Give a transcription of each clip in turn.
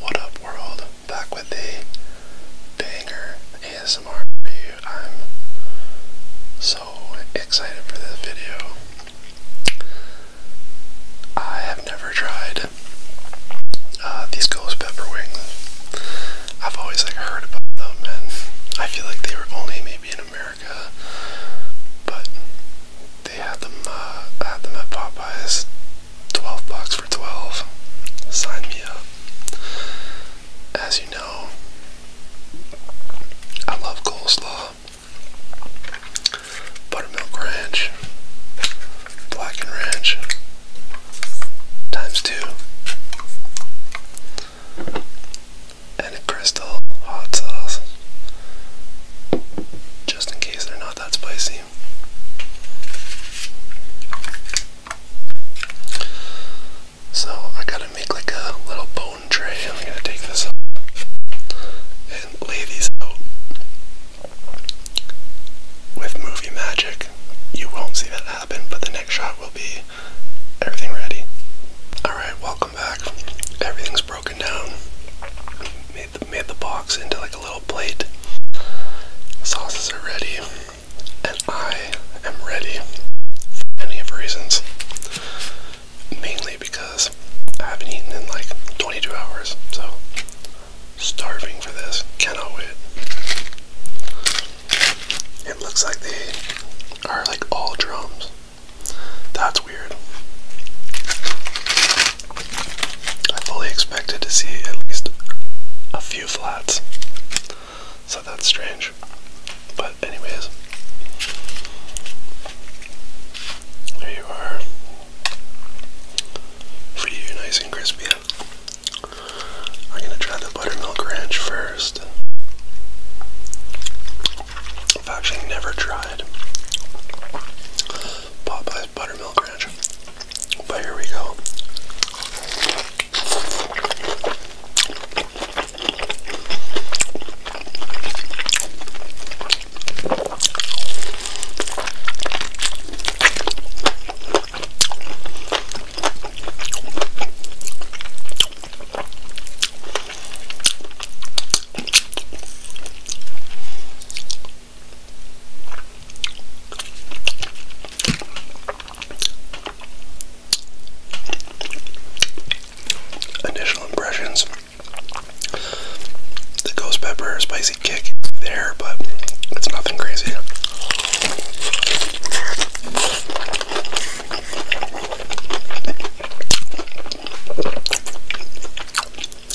What up, world? Back with the banger ASMR I'm so excited for this video. I have never tried uh, these ghost pepper wings. I've always like heard about them, and I feel like they were only maybe in America, but they had them uh, at Popeyes 12 bucks for 12. Sign me up. As you know, I love coleslaw, buttermilk ranch, blackened ranch, times two, and crystal hot sauce. Just in case they're not that spicy. So I gotta make like a little bone tray I'm gonna take this out and lay these out. With movie magic, you won't see that happen, but the next shot will be everything ready. Alright, welcome back. Everything's broken down made the, box into like a little plate. Sauces are ready, and I am ready for any of reasons. Mainly because I haven't eaten in like 22 hours, so starving for this. Cannot wait. It looks like they are like all drums. That's weird. I fully expected to see at least a few flats. So that's strange. But, anyways, there you are. For you, nice and crispy. I'm gonna try the buttermilk ranch first. I've actually never tried Popeye's buttermilk ranch. But here we go. Initial impressions. The ghost pepper spicy kick there, but it's nothing crazy.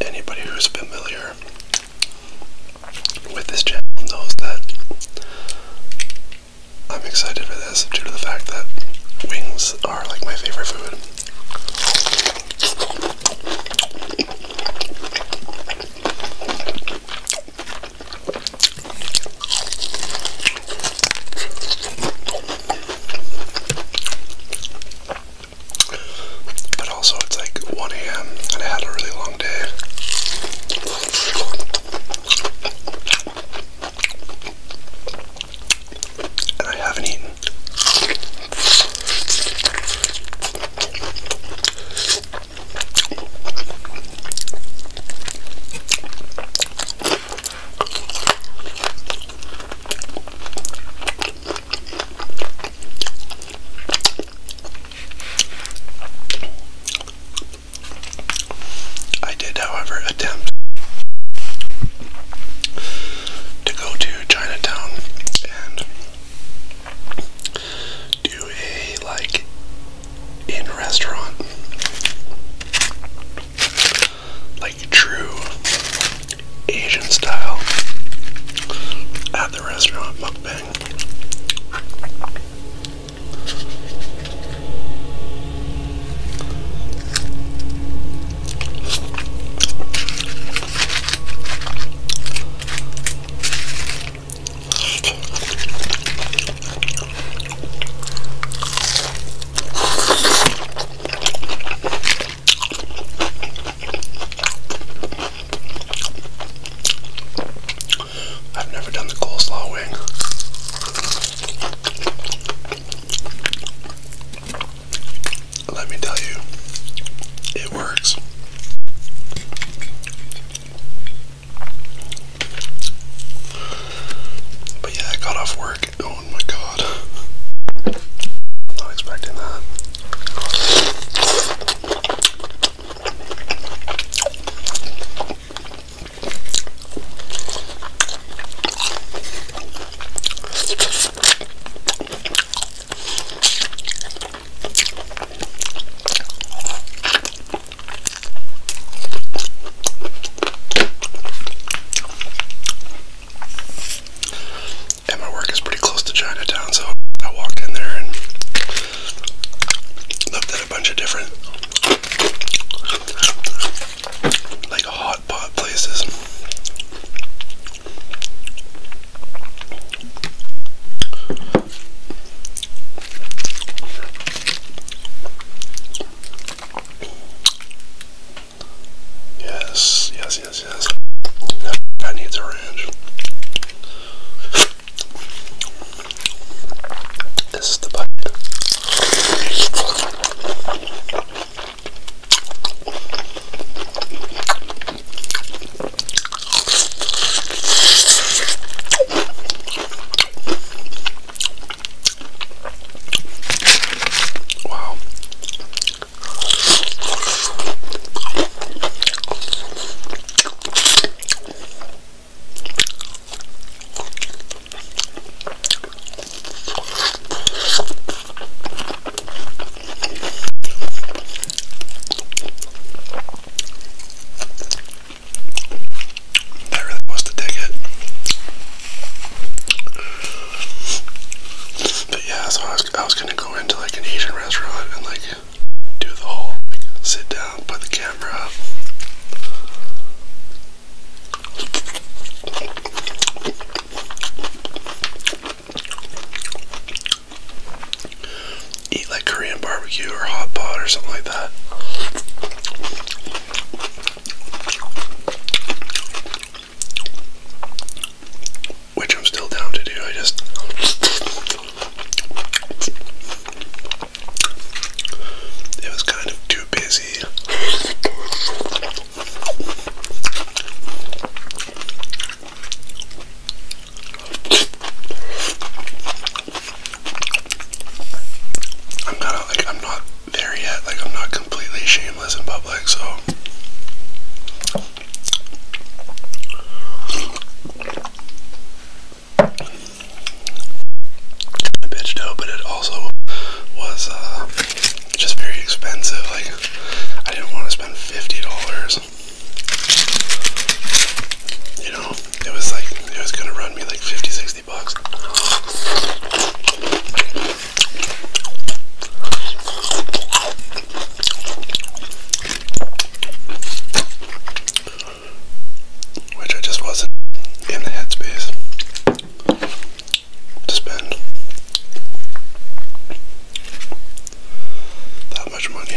anybody who's familiar with this channel knows that I'm excited for this due to the fact that wings are like my favorite food. But also, it's like 1 a.m. and I had a really long day. And I haven't eaten. I did, however, attempt to go to Chinatown and do a like in restaurant like true Asian style at the restaurant mukbang. I've never done the coleslaw wing. Let me tell you, it works. But yeah, I got off work. Oh my god. not expecting that. And my work is pretty close to Chinatown, so I walked in there and looked at a bunch of different like hot pot places. Yes, yes, yes, yes. That needs a ranch. This is the bite. Wow. That really was the ticket. But yeah, so I was, I was gonna go into like an Asian restaurant and like do the whole sit down, put the camera up. Eat like Korean barbecue or hot pot or something like that. Which I'm still down to do, I just um, it was kind of too busy. I'm not like I'm not there yet. Like, I'm not completely shameless in public, so. Kind bitched out, but it also was uh, just very expensive. Like, I didn't want to spend fifty dollars. You know, it was like it was gonna run me like 50, bucks. Which I just wasn't in the headspace to spend that much money.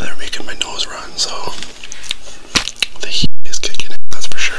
They're making my nose run, so the heat is kicking in, that's for sure.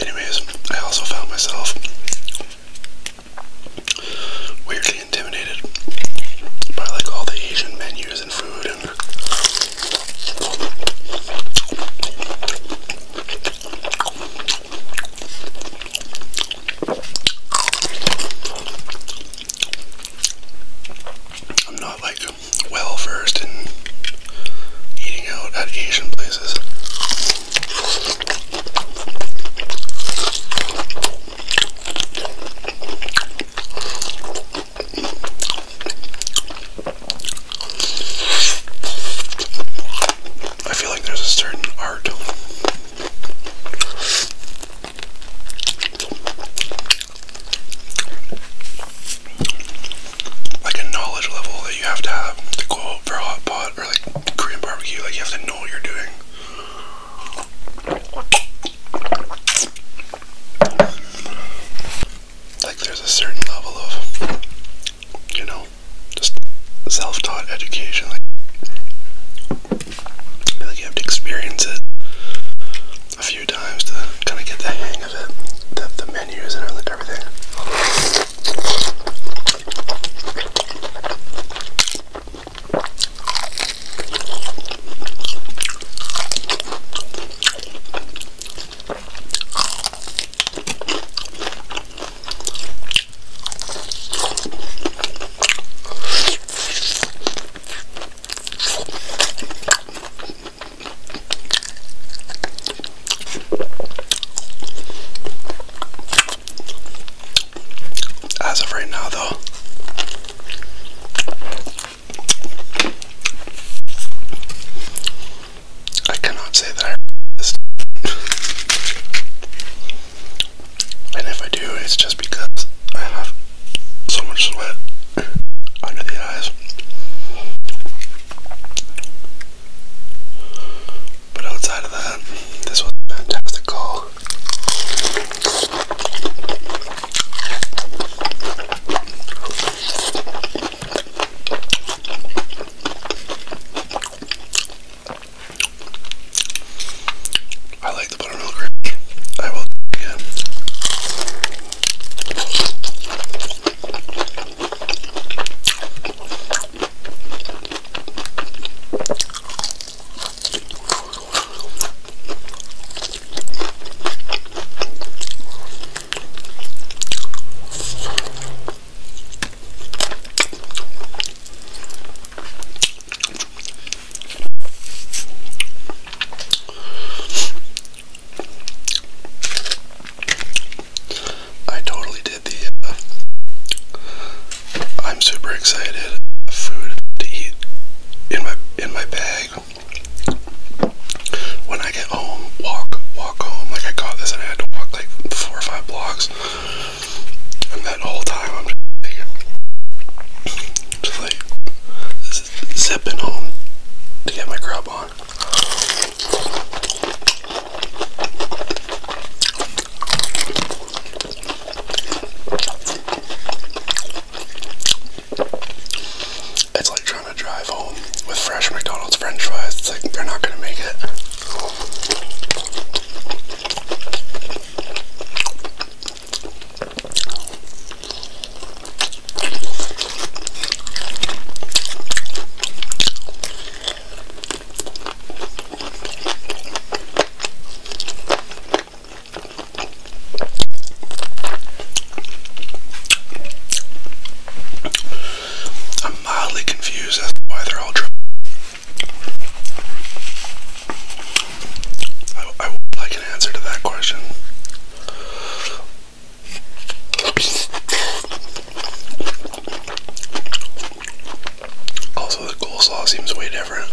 Anyways, I also found myself weirdly intimidated by like all the Asian menus and food and I'm not like well versed in eating out at Asian places. I feel like there's a certain art like a knowledge level that you have to have to go for hot pot or like Korean barbecue. Like you have to know what you're doing. Like there's a certain level of, you know, just self-taught education. like you have to experience it a few times to kind of get the hang of it, the, the menus and everything. As of right now, though, I cannot say that I am and if I do, it's just because I have so much sweat under the eyes. But outside of that, this was a I like like the buttermilk gravy. I will again. I totally did the. Uh, I'm super excited. Food to eat in my in my bag. When I get home, walk walk home. Like I got this, and I had to walk like four or five blocks. And that whole time, I'm just like, just like zipping home to get my grub on. It's like trying to drive home with fresh McDonald's french fries. It's like they're not going to make it. I'm mildly confused as to why they're all triple. I, I would like an answer to that question. Also, the coleslaw seems way different.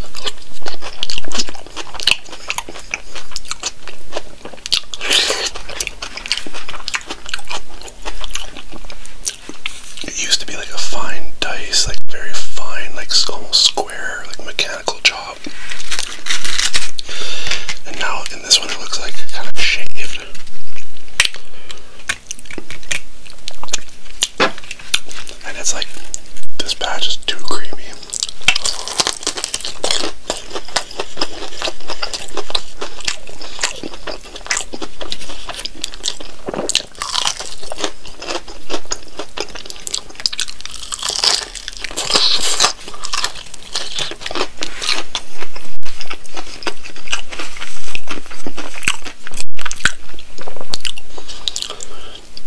It used to be like a fine dice, like very fine, like almost square, like mechanical chalk. And now in this one it looks like kind of shaved. And it's like this batch is too creamy.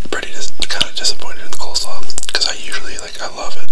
Pretty dis kind of disappointed in the coleslaw because I usually like I love it.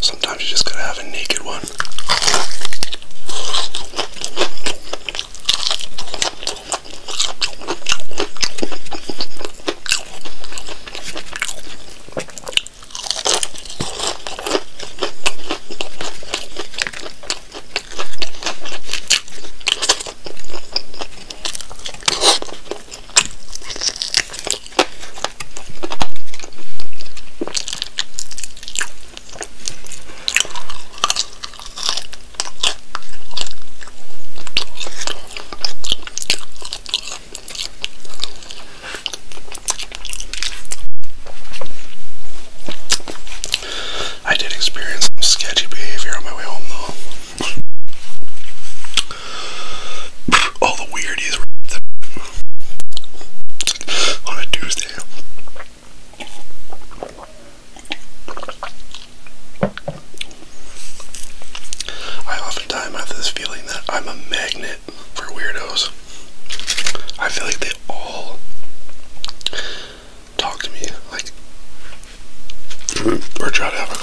Sometimes you just gotta have a naked one. I did experience some sketchy behavior on my way home though. All the weirdies on a Tuesday. I oftentimes have this feeling that I'm a magnet for weirdos. I feel like they all talk to me, like, or try to have a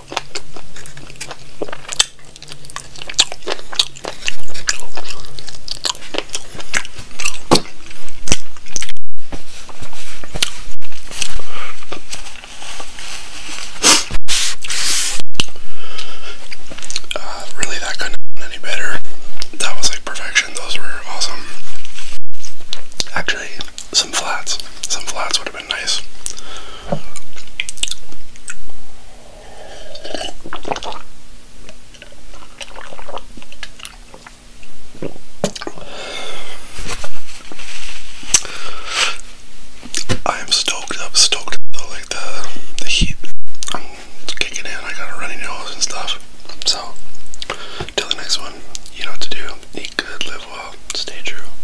Uh, really, that couldn't any better. That was like perfection. Those were awesome. Actually, some flats. Some flats would have been nice. I am stoked up, stoked like the the heat. I'm kicking in. I got a runny nose and stuff. So till the next one, you know what to do. Eat good, live well, stay true.